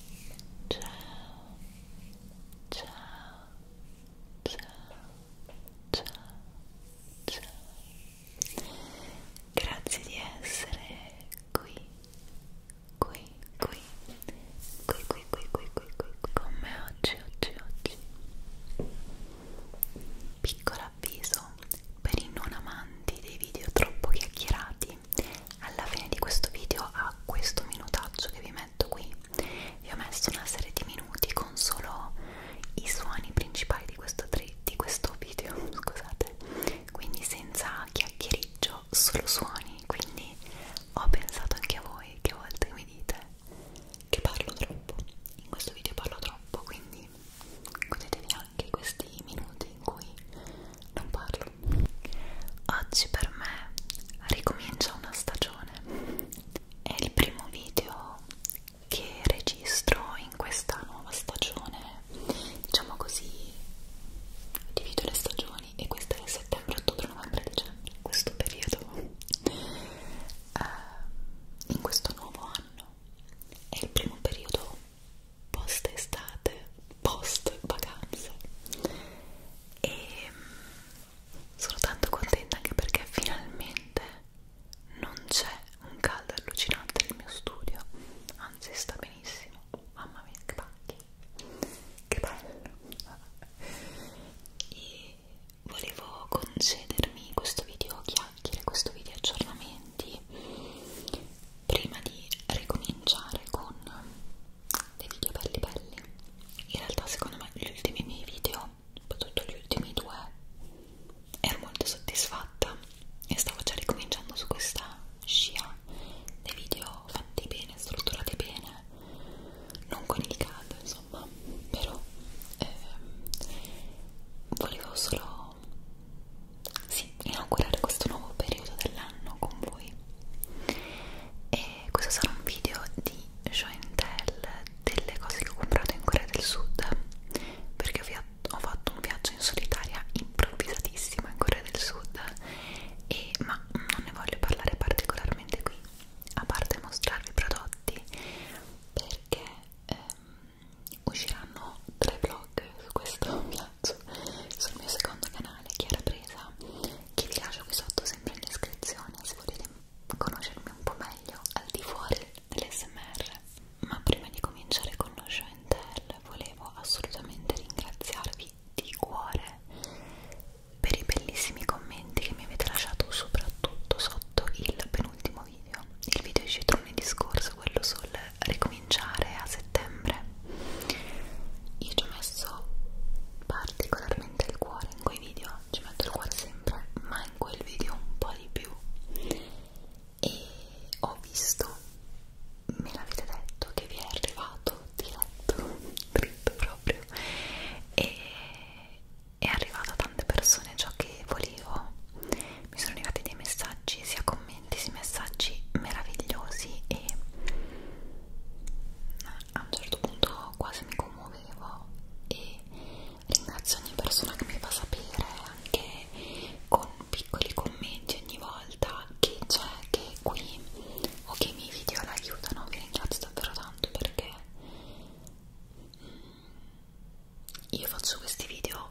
Ciao, ciao, ciao, ciao, ciao. Grazie di essere qui, qui, qui, qui, qui, qui, qui, qui, qui, qui con me oggi, oggi, oggi. Piccolo avviso per i non amanti dei video troppo chiacchierati alla fine di questo video a questo minutaggio che vi metto qui vi ho messo una serie di minuti con solo i suoni principali di questo, di questo video scusate quindi senza chiacchieriggio solo suoni quindi ho pensato anche a voi che a volte mi dite che parlo troppo in questo video parlo troppo quindi godetevi anche questi minuti in cui non parlo Oggi per me ricomincia una stagione. È il primo video che registro in questa nuova stagione, diciamo così, divido le stagioni e questa è settembre, ottobre, novembre, dicembre, questo periodo. Uh, in questo nuovo anno è il primo periodo post estate, post vacanza e mm, sono tanto contenta anche perché finalmente non c'è un caldo allucinante nel mio studio, anzi sta benissimo, mamma mia che pacchi, che bello! E volevo concedermi questo video chiacchiere, questo video aggiornamenti prima di ricominciare con dei video belli belli in realtà secondo me gli ultimi miei video soprattutto gli ultimi due ero molto soddisfatta e stavo già ricominciando su questa scia dei video fatti bene, strutturati bene non con il caldo insomma però ehm, volevo solo sì, inaugurare questo nuovo periodo dell'anno con voi e questo sarà un video di Jointel delle cose che ho comprato in Corea del Sud perché ho fatto un viaggio in solitaria improvvisatissimo in Corea del Sud e, ma non ne voglio parlare particolarmente qui a parte mostrarvi i prodotti perché ehm, usciranno tre vlog su questo faccio esatto. sul mio secondo canale Chiara Presa che vi lascio qui sotto sempre in descrizione se volete conoscermi un po' meglio al di fuori dell'SMR ma prima di cominciare con lo show and tell volevo assolutamente ringraziarvi di cuore per i bellissimi commenti che mi avete lasciato soprattutto sotto il penultimo video il video è uscito lunedì scorso quello sul ricominciare cominciare a settembre io ci ho messo particolarmente il cuore in quei video ci metto il cuore sempre ma in quel video un po' di più e ho visto me l'avete detto che vi è arrivato diretto dritto proprio e è arrivato a tante persone ciò che volevo mi sono arrivati dei messaggi sia con commenti, questi messaggi meravigliosi e a un certo punto quasi mi commuovevo e ringrazio ogni persona che mi fa sapere anche con piccoli commenti ogni volta che c'è che qui o che i miei video la aiutano vi ringrazio davvero tanto perché mm, io faccio questi video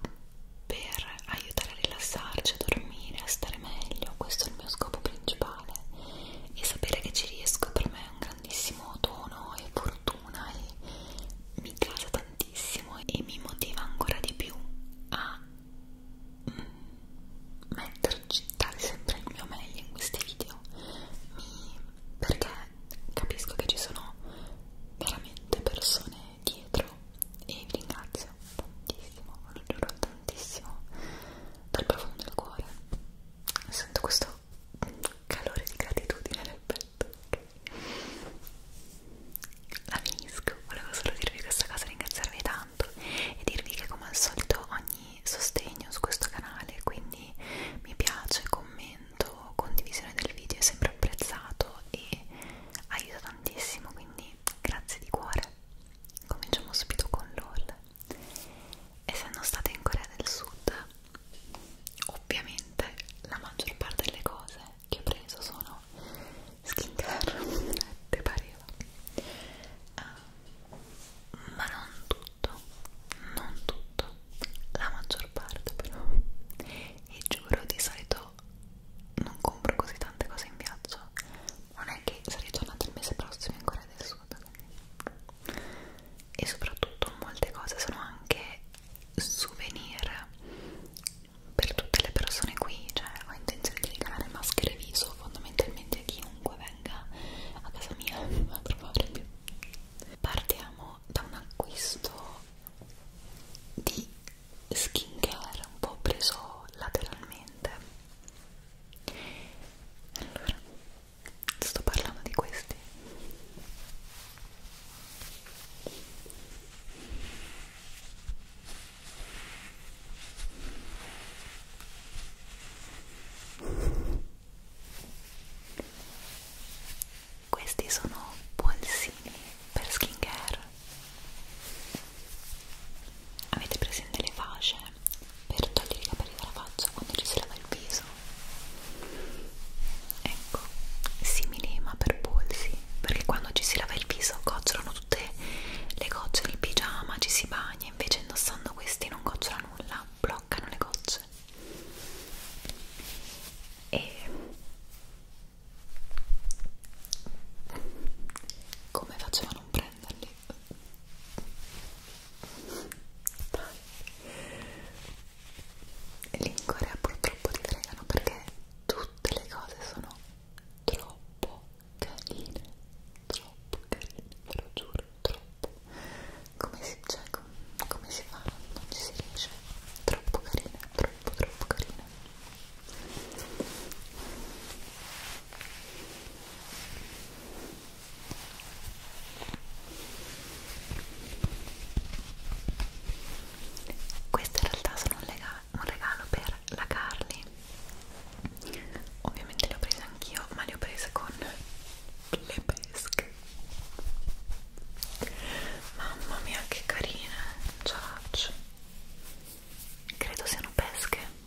per aiutare a rilassarci, a dormire, a stare meglio, questo è il mio scopo principale e sapere che ci riesco per me è un grandissimo dono e fortuna e mi casa tantissimo e mi motiva ancora di più a mm, metterci, dare sempre il mio meglio in questi video mi, perché capisco che ci sono veramente persone dietro e vi ringrazio tantissimo, ve lo giuro tantissimo, dal profumo del cuore. Sento questo calore di gratitudine nel petto. La finisco, volevo solo dirvi questa cosa, ringraziarvi tanto e dirvi che come al solito ogni sostegno su questo canale, quindi mi piace, commento, condivisione del video è sempre apprezzato e aiuta tantissimo, quindi quindi grazie di cuore. Cominciamo subito con LOL. Essendo state in Corea del Sud, ovviamente la maggior parte delle cose che ho preso sono skincare, te pareva. Uh, ma non tutto, non tutto, la maggior parte però. E giuro di solito non compro così tante cose in viaggio non è che sarei tornata il mese prossimo in Corea del Sud e soprattutto molte cose sono anche souvenir per tutte le persone qui cioè ho intenzione di regalare maschere viso fondamentalmente a chiunque venga a casa mia a trovare più partiamo da un acquisto di skincare un po' preso lateralmente allora sto parlando di questi questi sono polsini per skincare avete presente le fasce per togliere i capelli dalla faccia quando ci si lava il viso ecco simili ma per polsi perché quando ci si lava il viso gocciolano tutte le gocce il pigiama ci si bagna invece indossando questi non gocciola nulla bloccano le gocce e come facevano un pre prenderli dai lì in Corea purtroppo ti fregano perché tutte le cose sono troppo carine troppo carine, ve lo giuro, troppo come si, cioè, com come si fa? non ci si riesce troppo carine, troppo troppo carine queste in realtà sono un regalo per la Carly. Ovviamente le ho prese anch'io, ma le ho prese con le pesche. Mamma mia, che carine! Ciao! Credo siano pesche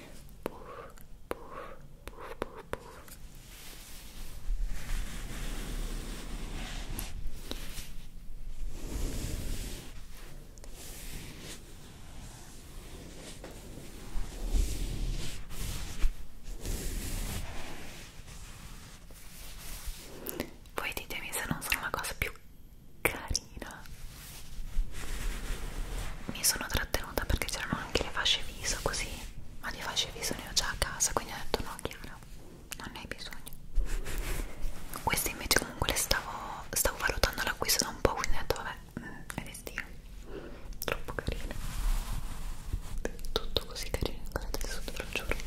puff, puff, puff, puff, puff. Voi ditemi se non sono la cosa più carina. Mi sono trattenuta perché c'erano anche le fasce viso così ma di facce viso ne ho già a casa quindi ho detto no Chiara non ne hai bisogno questa invece comunque le stavo stavo valutando l'acquisto da un po' quindi ho detto vabbè mm, è destino troppo carina tutto così carino guardate sotto lo giuro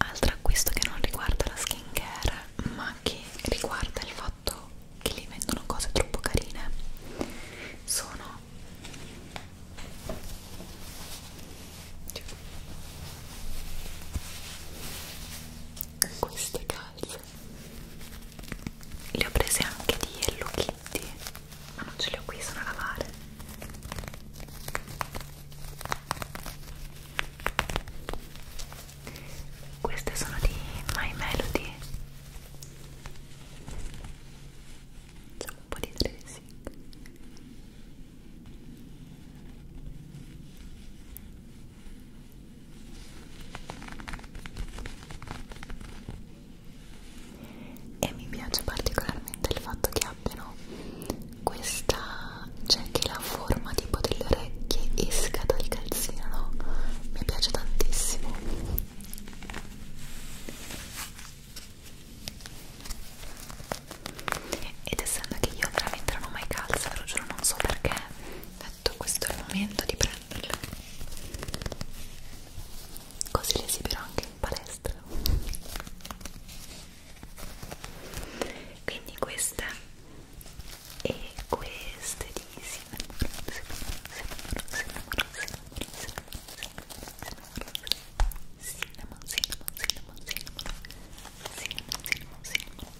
Altro acquisto che non riguarda la skincare ma che riguarda il fatto che lì vendono cose troppo carine sono queste calze le ho prese anche di Hello Kitty ma non ce le ho qui, sono a lavare queste sono di My Melody facciamo un po' di tracing e mi piace particolarmente il fatto che abbiano questa, cioè che la forma tipo del piacere che esca dal calzino, no? Mi piace tantissimo. Ed essendo che io veramente non ho mai calze, ve lo giuro, non so perché, ho detto questo è il momento di prenderle. Così le esibirò anche in palestra. Quindi queste e queste di si cinnamon cinnamon cinnamon cinnamon cinnamon cinnamon cinnamon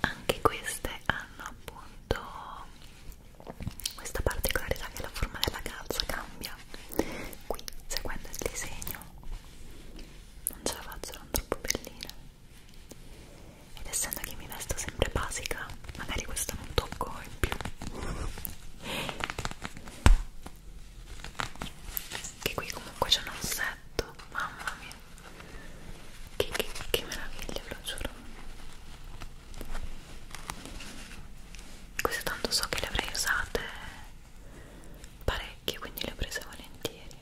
anche queste hanno appunto questa particolarità che la forma della calza cambia qui seguendo il disegno non ce la faccio, erano troppo belline ed essendo che mi vesto sempre basica magari questo non tocco in più che qui comunque c'è un ossetto mamma mia che, che, che meraviglia ve lo giuro queste tanto so che le avrei usate parecchie quindi le ho prese volentieri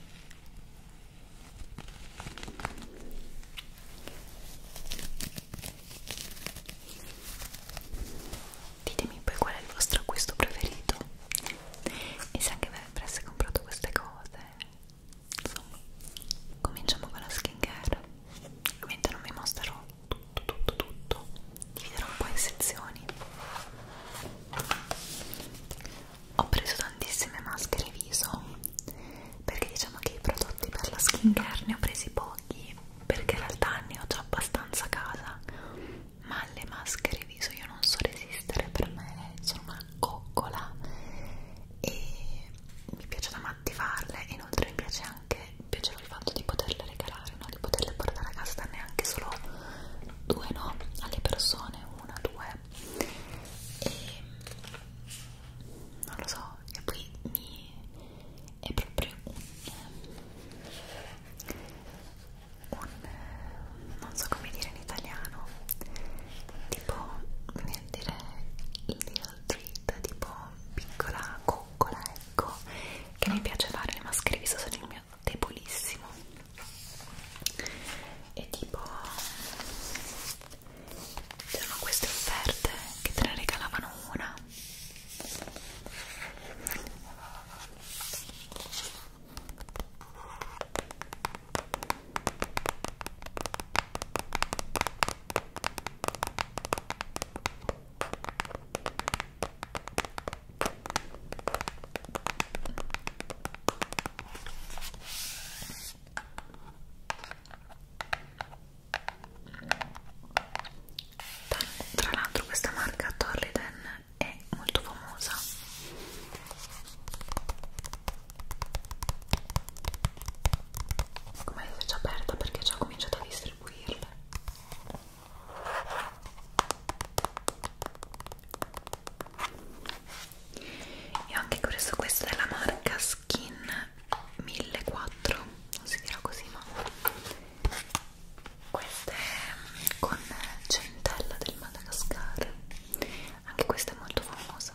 ditemi poi qual è il vostro acquisto preferito e se anche voi avreste comprato queste cose insomma cominciamo con la skin care ovviamente non vi mostrerò tutto tutto tutto dividerò un po' in sezioni ho preso tantissime maschere viso perché diciamo che i prodotti per la skincare ne ho presi pochi perché in realtà ne ho già abbastanza a casa ma le maschere viso io non so resistere per me sono una coccola e mi piace da matti farle inoltre mi piace anche piaceva il fatto di poterle regalare necessario no? di poterle portare a casa neanche solo due no alle persone una due e non lo so e poi mi è proprio un, un non so come dire in italiano tipo nel dire little treat tipo piccola coccola ecco che mi piace fare ma scrivi solo il mio bagno debolissimo e tipo c'erano queste offerte che te ne regalavano una tra l'altro questa marca Torriden è molto famosa. Come la faccio aperta perché già ho cominciato a distribuirle e ho anche preso questa della marca Skin 1400 non si dirà così ma questa è con centella del Madagascar anche questa è molto famosa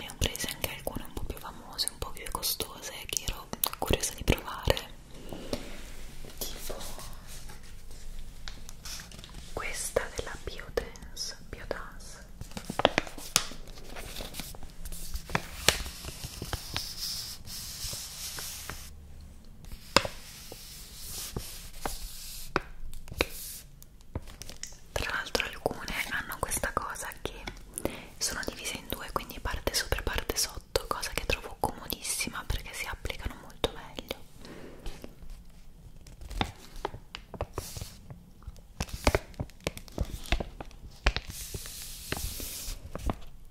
ne ho prese anche alcune un po' più famose, un po' più costose che ero curiosa di provare tipo questa della Biodance Biodance tra l'altro alcune hanno questa cosa che sono divise in due quindi parte sopra e parte sotto cosa che trovo comodissima perché si applicano molto meglio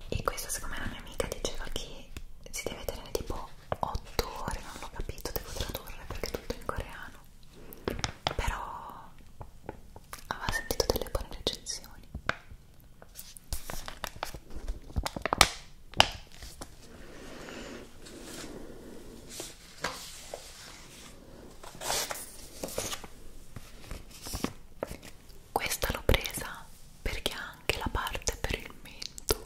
e questa secondo me la mia amica diceva che si deve tenere tipo 8 ore non l'ho capito devo tradurre perché è tutto in coreano strano però aveva sentito delle buone recensioni questa l'ho presa perché ha anche la parte per il mento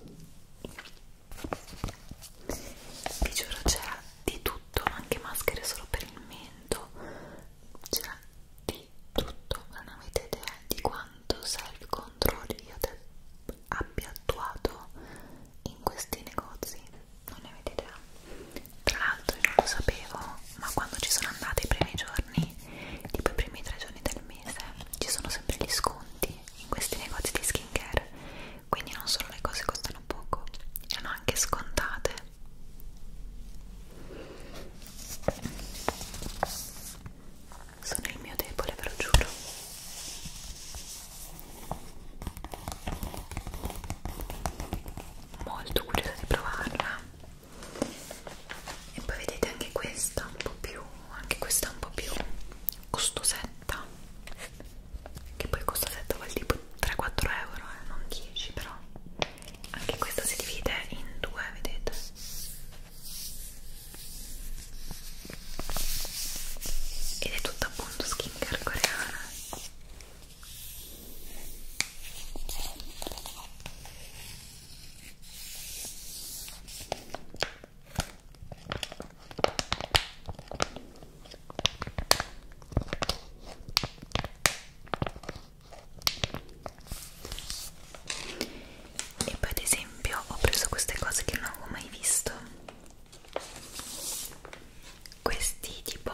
vi giuro c'era di tutto, anche maschere solo per il mento, c'era cioè, di tutto, non avete idea di quanto self control io abbia attuato in questi negozi, non ne avete idea. Tra l'altro io non lo sapevo, ma quando ci sono andata i primi giorni, tipo i primi tre giorni del mese, ci sono sempre gli sconti in questi negozi di skincare, quindi non solo le cose costano costano poco erano anche scontate sono il mio debole ve lo giuro molto curiosa di provarla e poi vedete anche questa un po' più anche questa un po' più costosetta che poi costosetta vuol tipo 3-4 euro, eh, non 10 però anche questa si divide in due, vedete? Ed è tutta appunto skincare coreana e poi ad esempio ho preso queste cose che non avevo mai visto questi tipo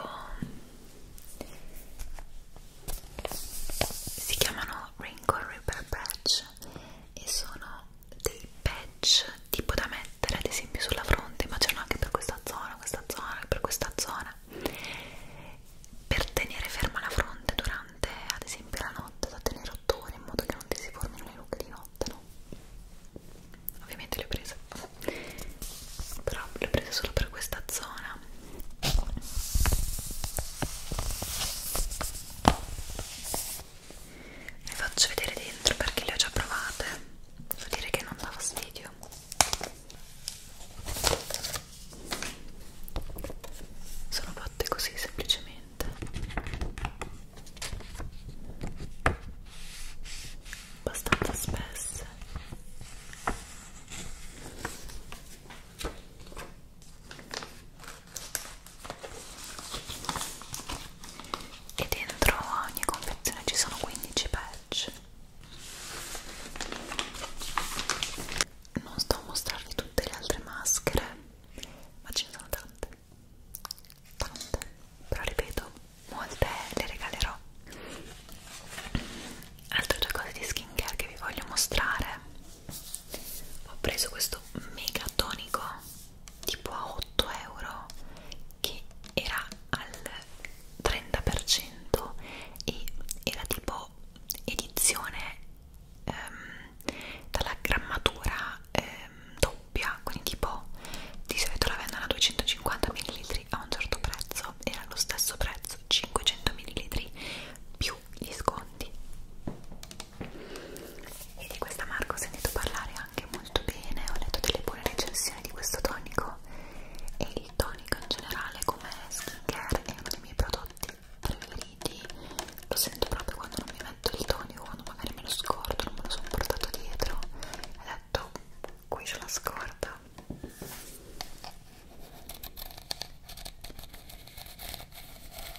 si chiamano Wrinkle Repair Patch e sono dei patch tipo da mettere ad esempio sulla fronte ma c'erano anche per questa zona, questa zona e per questa zona settimana per tenere ferma la fronte durante ad esempio la notte da tenere 8 ore in modo che non ti si formino le rughe di notte no? ovviamente le ho prese però le ho prese solo per questa zona le faccio vedere dentro perché le ho già provate devo dire che non dà fastidio sono fatte così semplicemente abbastanza spesse e dentro ogni confezione ci sono 15 patch piace non sto a mostrarvi tutte le altre maschere ma ce ne sono tante tante però ripeto molte le regalerò altre due cose di skincare che vi voglio mostrare ho preso questo mega tonico tipo a 8 euro che era al 30% e era tipo edizione ehm, dalla grammatura ehm, doppia, quindi tipo di solito la vendono a 250 ml a un certo prezzo, era lo stesso prezzo, 500 ml più gli sconti. E di questa marca ho sentito parlare anche molto bene, ho letto delle buone recensioni di questo tonico e il tonico in generale come skincare è uno dei miei prodotti preferiti lo sento proprio quando non mi metto il tonico quando magari me lo scordo non me lo sono portato dietro e detto qui c'è la scorta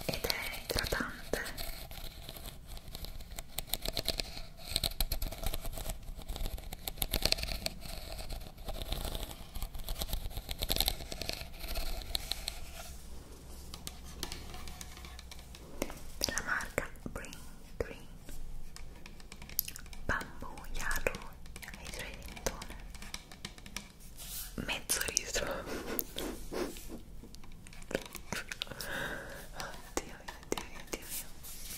ed è idratante della marca Green Green Bamboo Yarrow Hydra Lintone mezzo litro oddio oddio oddio oddio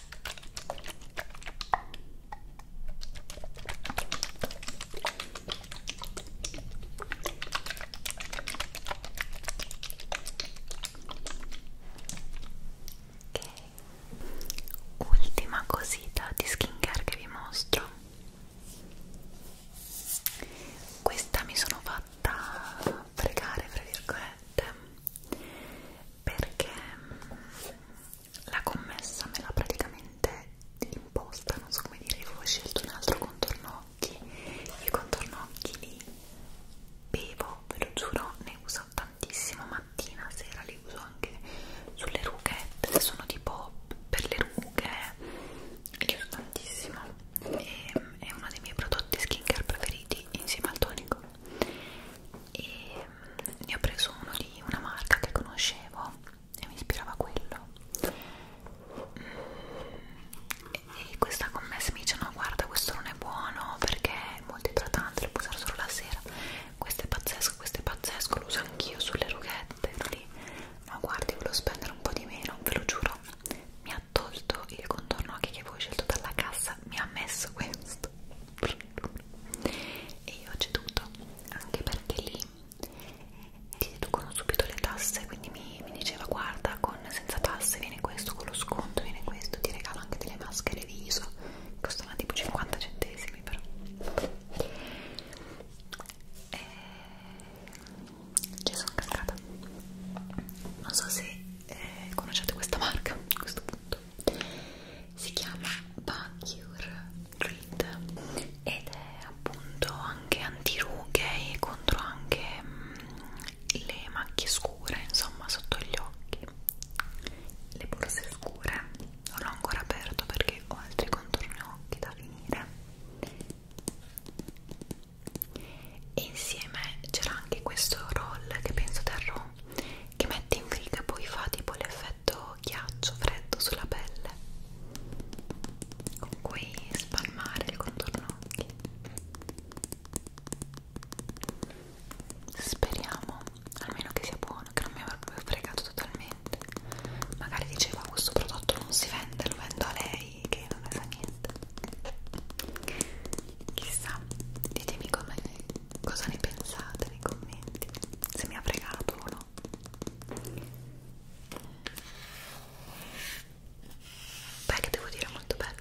Ok, ultima cosita di skincare che vi mostro. Questa mi sono fatta pregare, fra virgolette perché la commessa me l'ha praticamente imposta, non so come dire, io ho scelto un altro contorno occhi, i contorno occhi li bevo, ve lo giuro, ne uso tantissimo mattina, sera li uso anche sulle rughette, sono tipo per le rughe, li uso tantissimo e, ehm, è uno dei miei prodotti skincare preferiti insieme al tonico e ne ho preso uno di una marca che conoscevo e mi ispirava quello e questa commessa mi dice no guarda questo non è buono perché è molto idratante lo puoi usare solo la sera questo è pazzesco questo è pazzesco lo uso anch'io sulle rughette lì ma guardi volevo spendere un po' di meno ve lo giuro mi ha tolto il contorno occhi che avevo scelto dalla cassa mi ha messo questo e io ho ceduto anche perché lì ti deducono subito le tasse quindi mi, mi diceva guarda con senza tasse viene questo con lo sconto viene questo ti regalo anche delle maschere viso costano tipo 50 centesimi però e... ci sono cascata non so se eh, conoscete questa marca a questo punto si chiama Bacure Grid ed è appunto anche antirughe e contro anche mh, mm, le macchie scure insomma sotto gli occhi le borse scure non l'ho ancora aperto perché ho altri contorni occhi da finire e insieme c'era anche questo roll che penso terrò che mette in frigo e poi fa tipo l'effetto ghiaccio freddo sulla pelle con cui spalmare il contorno occhi speriamo almeno che sia buono che non mi avrà proprio fregato totalmente magari diceva questo prodotto non si vende lo vendo a lei che non ne sa niente chissà ditemi come cosa ne pensate nei commenti se mi ha fregato o no beh che devo dire è molto bello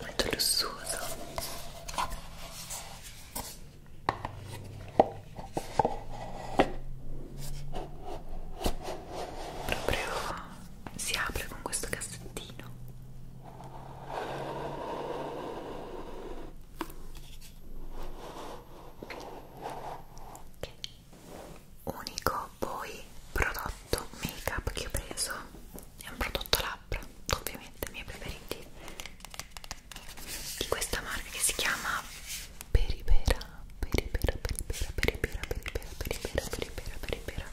molto lussuoso proprio si apre con questo cassettino Unico poi prodotto make up che ho preso è un prodotto labbra, ovviamente i miei preferiti di questa marca che si chiama Peripera, Peripera, Peripera, Peripera, Peripera, Peripera, Peripera, Peripera, Peripera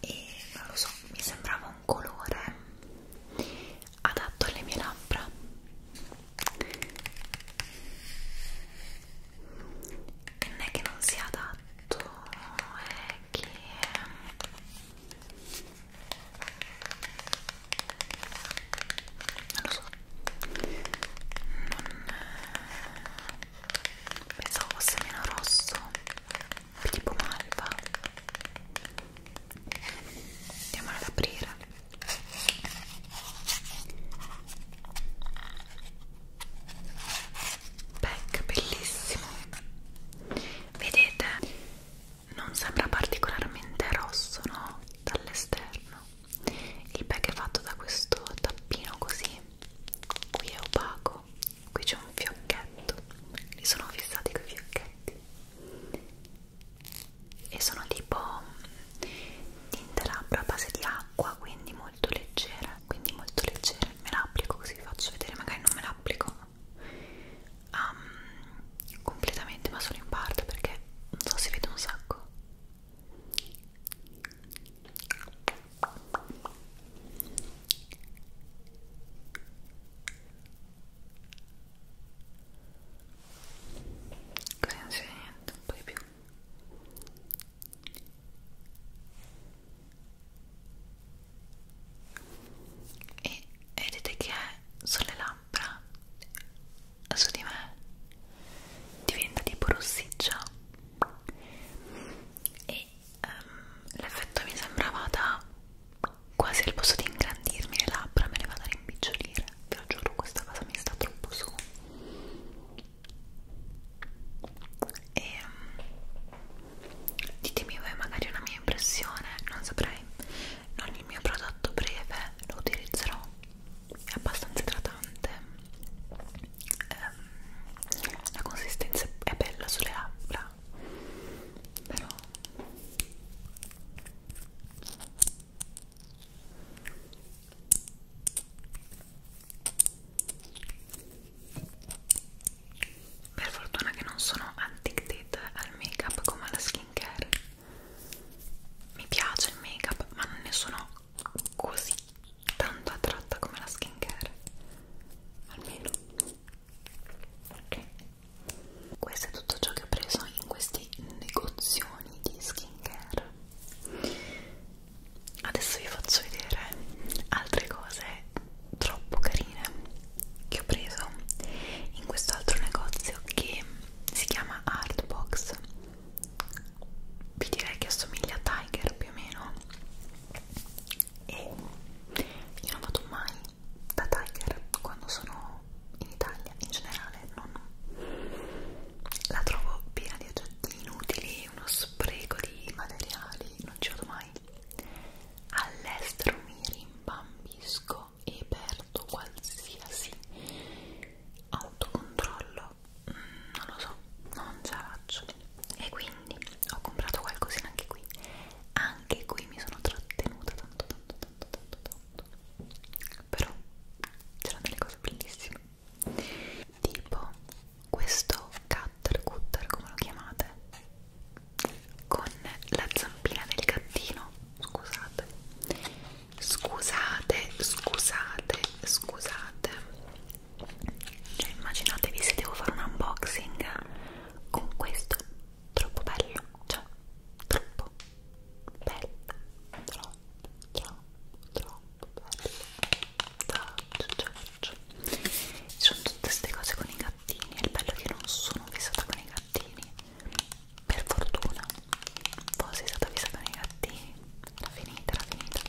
e non lo so, mi sembrava un colore adatto alle mie labbra e non è che non sia adatto, è che non lo so non pensavo fosse meno rosso tipo malva andiamo ad aprire pack bellissimo vedete non sembra particolarmente rosso no dall'esterno il pack è fatto da questo tappino così qui è opaco qui c'è un fiocchetto li sono fissati quei fiocchetti e sono tipo mm, tinte labbra a base di acqua quindi molto leggera quindi molto leggera me la applico così vi faccio vedere magari non me la applico um, completamente ma solo in parte perché non so si vede un sacco Così non si vede niente, un po' di più. E vedete che è sulle labbra su di me diventa tipo rossiccia e um, l'effetto mi sembrava da quasi al posto di ingrandirmi le labbra me le vado a rimpicciolire ve lo giuro questa cosa mi sta troppo su e um, ditemi voi magari una mia impressione non saprei non il mio prodotto breve lo utilizzerò è abbastanza idratante ehm, la consistenza è bella sulle labbra però per fortuna che non sono addicted al make up come alla skincare mi piace il make up ma non ne sono così tanto attratta come la skincare almeno ok questo è tutto ciò che ho preso in questi negozioni di skincare adesso vi faccio vedere altre cose troppo carine che ho preso in questo altro negozio che si chiama Artbox vi direi che assomiglia a Tiger più o meno e io non vado mai da Tiger quando sono in Italia in generale non la trovo piena di oggetti inutili uno spreco di materiali non ci vado mai all'estero mi rimbambisco e perdo qualsiasi autocontrollo farlo mm, non lo so non ce la faccio e quindi ho comprato qualcosina anche qui anche qui mi sono trattenuta tanto tanto tanto tanto tanto però c'erano delle cose bellissime tipo questo cutter cutter come lo chiamate con la zampina del gattino scusate scusate scusate scusate cioè immaginatevi se devo fare un unboxing con questo, troppo bello, cioè troppo bello, troppo, troppo, troppo bello. Ciao, ah, ciao, Ci sono tutte queste cose con i gattini, è il bello che non sono fissata con i gattini, per fortuna, forse è stata fissata con i gattini era finita, era finita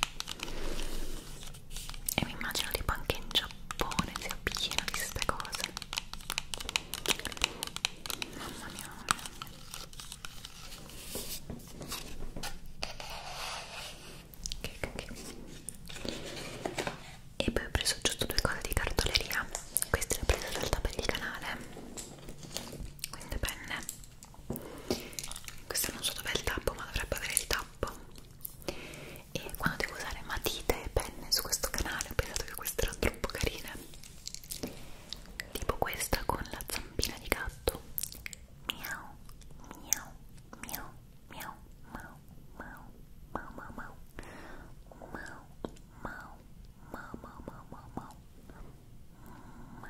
e mi immagino tipo anche in Giappone sia pieno di queste cose mamma mia, mamma mia. Che, che, che. e poi ho preso giusto due cose di cartoleria queste le ho prese dal tabelli canale quindi penne questa non so dov'è il tappo ma dovrebbe avere il tappo e quando devo usare matite e penne su questo canale ho pensato che queste erano troppo carine tipo questa con la zampina di gatto miau miau miau miau mau mau mau mau mau mau mau mau mau mau mau mau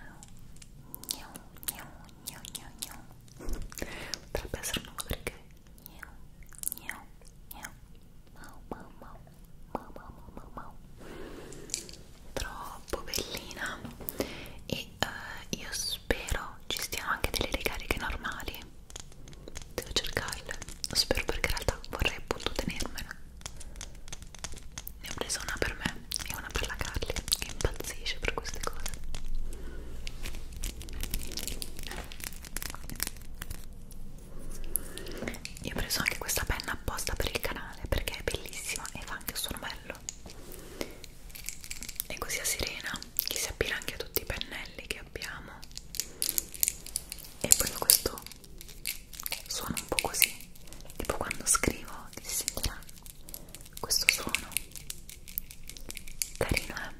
miau miau gno gno gno potrebbe essere un nuovo perché gno gno gno mau mau mau mau mau mau mau troppo bellina e uh, io spero ci stiano anche delle ricariche normali devo cercarle spero perché in realtà vorrei appunto tenermela ne ho presa una per me me e una per la Carly che impazzisce per queste cose io ho preso anche questa penna apposta per il canale perché è bellissima e fa anche il suo bello e così a Sirena che si abbina anche a tutti i pennelli che abbiamo e poi questo suono un po' così tipo quando scrivo si sentirà questo suono carino eh?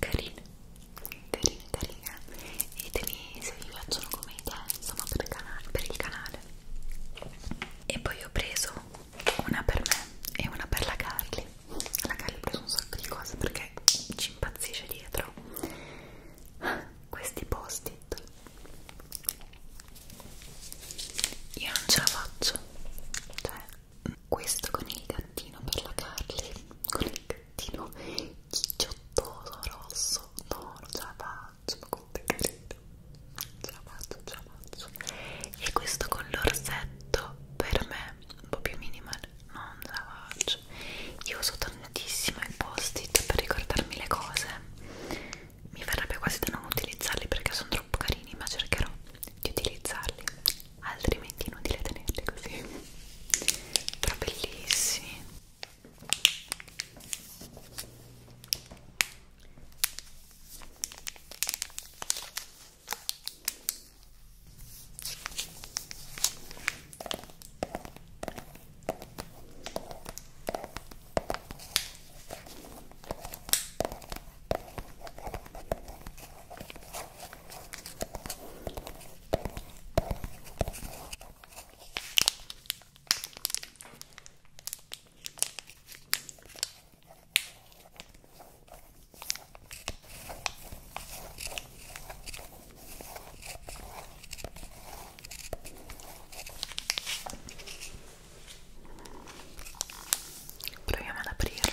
carine carine carine e ditemi se vi piacciono come idea insomma per il, canale, per il canale e poi ho preso una per me e una per la Carly la Carly ho preso un sacco di cose perché ci impazzisce dietro questi post-it io non ce la faccio cioè questo con il gattino per la Carly con il gattino cicciottoso rosso no, non ce la faccio ma quanto è carino non ce la faccio, non ce la faccio e questo con l'orsetto per me un po' più minimal non ce la faccio io uso tantissimo i post-it per ricordarmi le cose mi verrebbe quasi da non utilizzarli perché sono troppo carini ma cercherò di utilizzarli altrimenti inutile tenerli così però bellissimi Proviamo ad aprirlo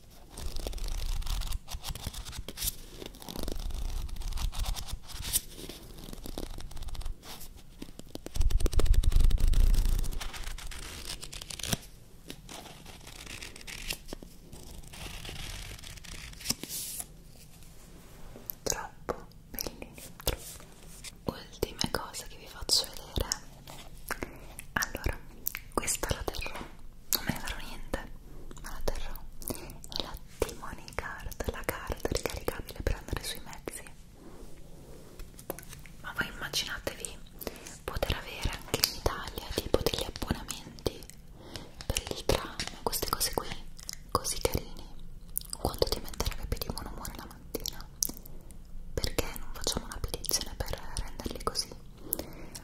Troppo bellini, troppo. Ultime cose che vi faccio vedere. Allora, questa la terrò non me ne farò niente, ma la terrò è la Timony Card, la card ricaricabile per andare sui mezzi ma voi immaginatevi poter avere anche in Italia tipo degli abbonamenti per il tram, queste cose qui così carini quanto ti metterebbe più di buon umore la mattina perché non facciamo una petizione per renderli così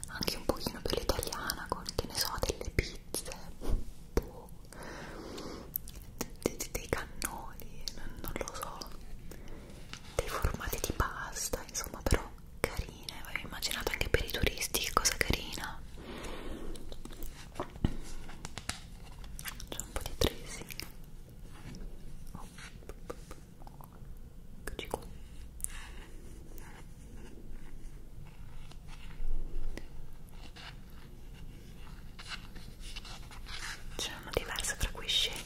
anche un pochino più l'italiana con che ne so delle pizze boh, dei, dei cannoli non, non lo so dei formati di pasta insomma però carine avevo immaginato anche per i turisti che cosa carina c'è un po' di tracing oh. Eccoci qua. C'è uno diverso fra cui scegliere.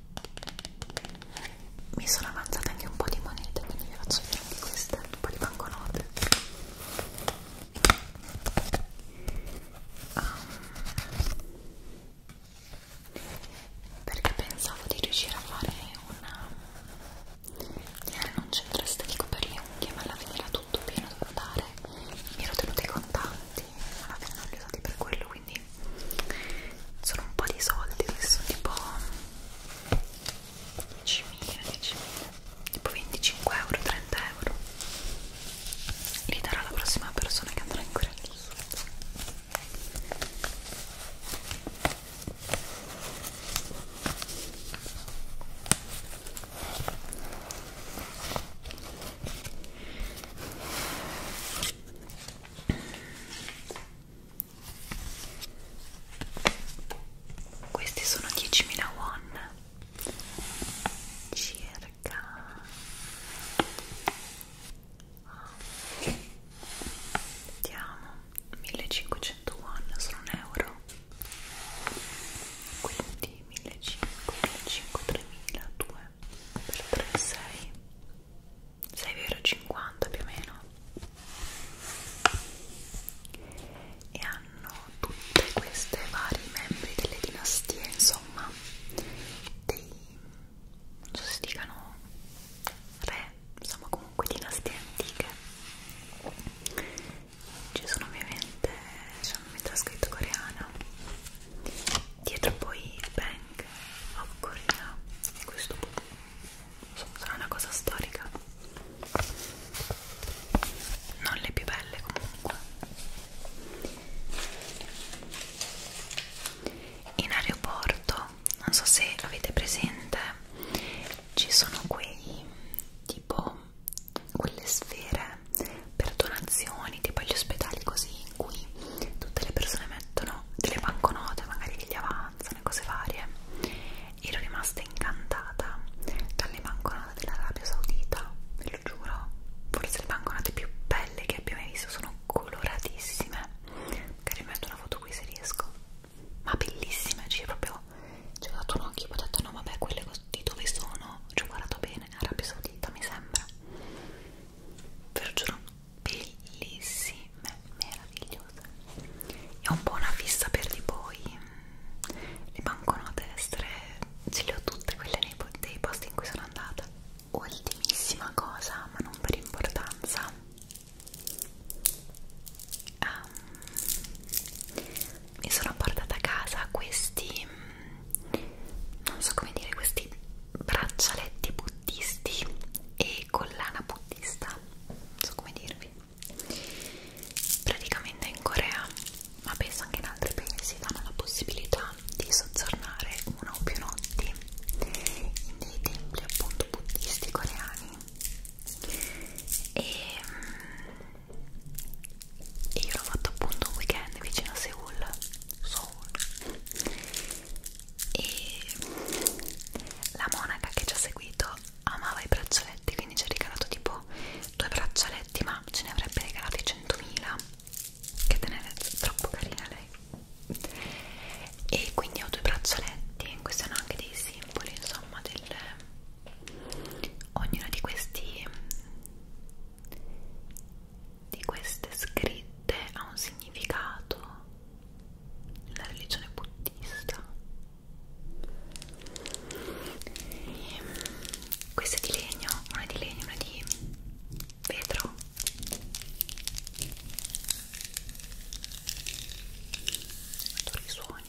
mi sono avanzate anche un po' di monete quindi vi faccio vedere anche queste un po' di banconote um, perché pensavo di riuscire a fare una di eh, avere un centro estetico per le unghie ma alla fine era tutto pieno da dare mi ero tenuta i contanti alla fine non li ho usati per quello quindi quindi sono un po' di soldi adesso tipo 10.000 10.000 tipo 25 euro 30 euro li darò alla prossima persona che andrà in Corea del Sud questi sono 10.000 won circa vediamo 1500 won sono un euro quindi 1500 1500 3000 2 per 3 6 6,50 più o meno e hanno tutte queste vari membri delle dinastie insomma dei non so se dicano re insomma comunque dinastie antiche ci sono ovviamente c'è una metà scritto coreana dietro poi Bank of oh, Korea questo sarà una cosa storica non le più belle comunque in aeroporto non so se avete presente ci sono quei tipo quelle sfere per donazioni tipo agli ospedali così in cui tutte le persone mettono delle banconote, magari che gli avanzano e cose varie. Ero rimasta incantata dalle banconote dell'Arabia Saudita, ve lo giuro. Forse le banconote più belle che abbia mai visto sono coloratissime. Magari metto una foto qui se riesco. Ma bellissime, cioè proprio ci ho dato un occhio e ho detto no vabbè quelle di dove sono, ci ho guardato bene, Arabia Saudita mi sembra. Ve lo giuro, bellissime, meravigliose. È un po' una fissa per di voi. Le banconote estere ce le ho tutte quelle nei, dei posti in cui sono andata. Ultimissima cosa, ma non per importanza. Um, mi sono portata a casa questi non so come dire questi braccialetti buddisti e collana buddista non so come dirvi praticamente in Corea ma penso anche in altri paesi danno la possibilità di soggiornare una o più notti in dei templi appunto buddisti coreani e, e mm, io l'ho fatto appunto un weekend vicino a Seoul Seoul e la monaca che ci ha seguito amava i braccialetti quindi ci ha regalato tipo due braccialetti ma ce ne avrebbe regalati 100.000 che tenere troppo carina lei e quindi ho due braccialetti questi sono anche dei simboli insomma del ognuno di questi di queste scritte ha un significato nella religione buddista. Ehm, questa è di legno, una è di legno, una di vetro. Adoro i suoni.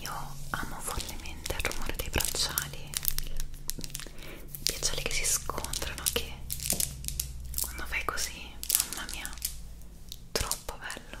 Io amo follemente il rumore dei bracciali, i bracciali che si scontrano che quando fai così, mamma mia, troppo bello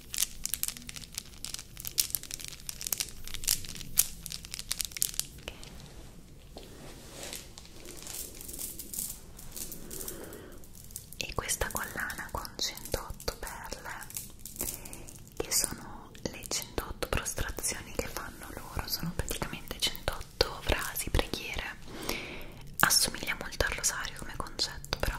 e questa collana con 108 perle che sono le 108 prostrazioni che fanno loro sono praticamente 108 frasi, preghiere assomiglia molto al rosario come concetto però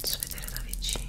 posso vedere da vicino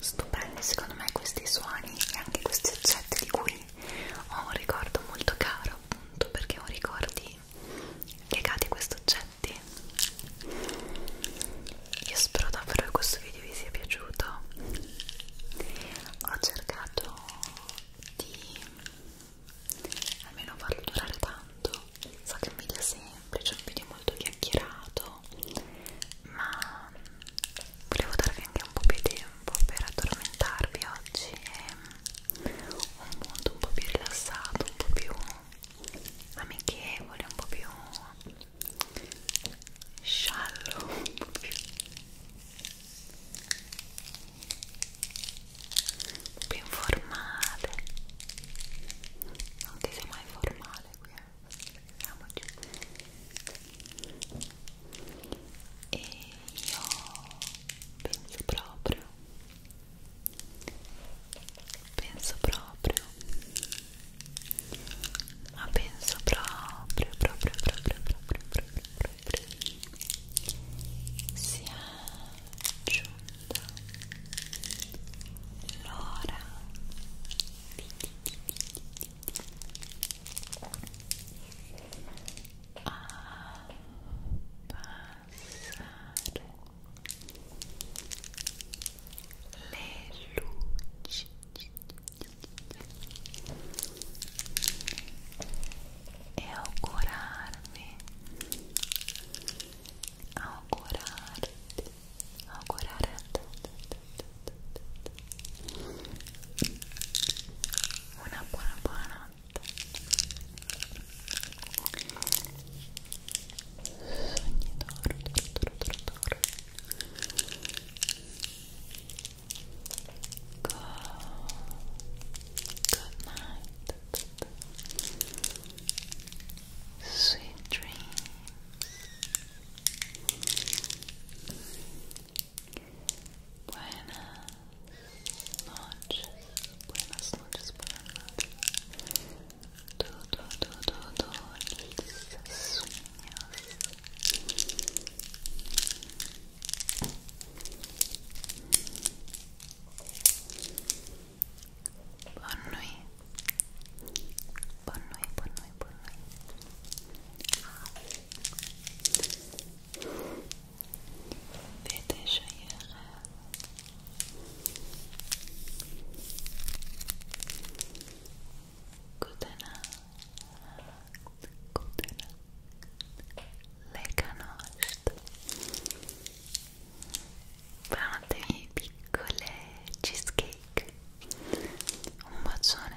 Stupendi secondo me questi suoni e anche questi oggetti di cui ho un ricordo molto caro appunto perché ho ricordi legati a questo oggetto insetti io spero davvero che questo video vi sia piaciuto ho cercato di almeno farlo durare tanto so che è un video semplice un video molto chiacchierato ma volevo darvi anche un po' più di tempo per addormentarvi oggi è un mondo un po' più rilassato un po' più amichevole un po' più sciallo un po' più più informale non che sia mai formale qui eh. e io penso proprio penso proprio ma penso proprio proprio proprio proprio proprio, proprio sia giunta l'ora a passare le luci e augurarmi augurarti augurare a tutti una buona buona notte Go. Good night. Sweet dreams. Buenas noches. Buenas noches. Buenas noches. tudo, tudo, tudo lisinhas. Boa noite. Boa noite, boa noite, boa noite. Ve teşekkürler. good enough, good enough, piccole cheesecake. Un bacione.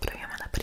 proviamo ad aprirlo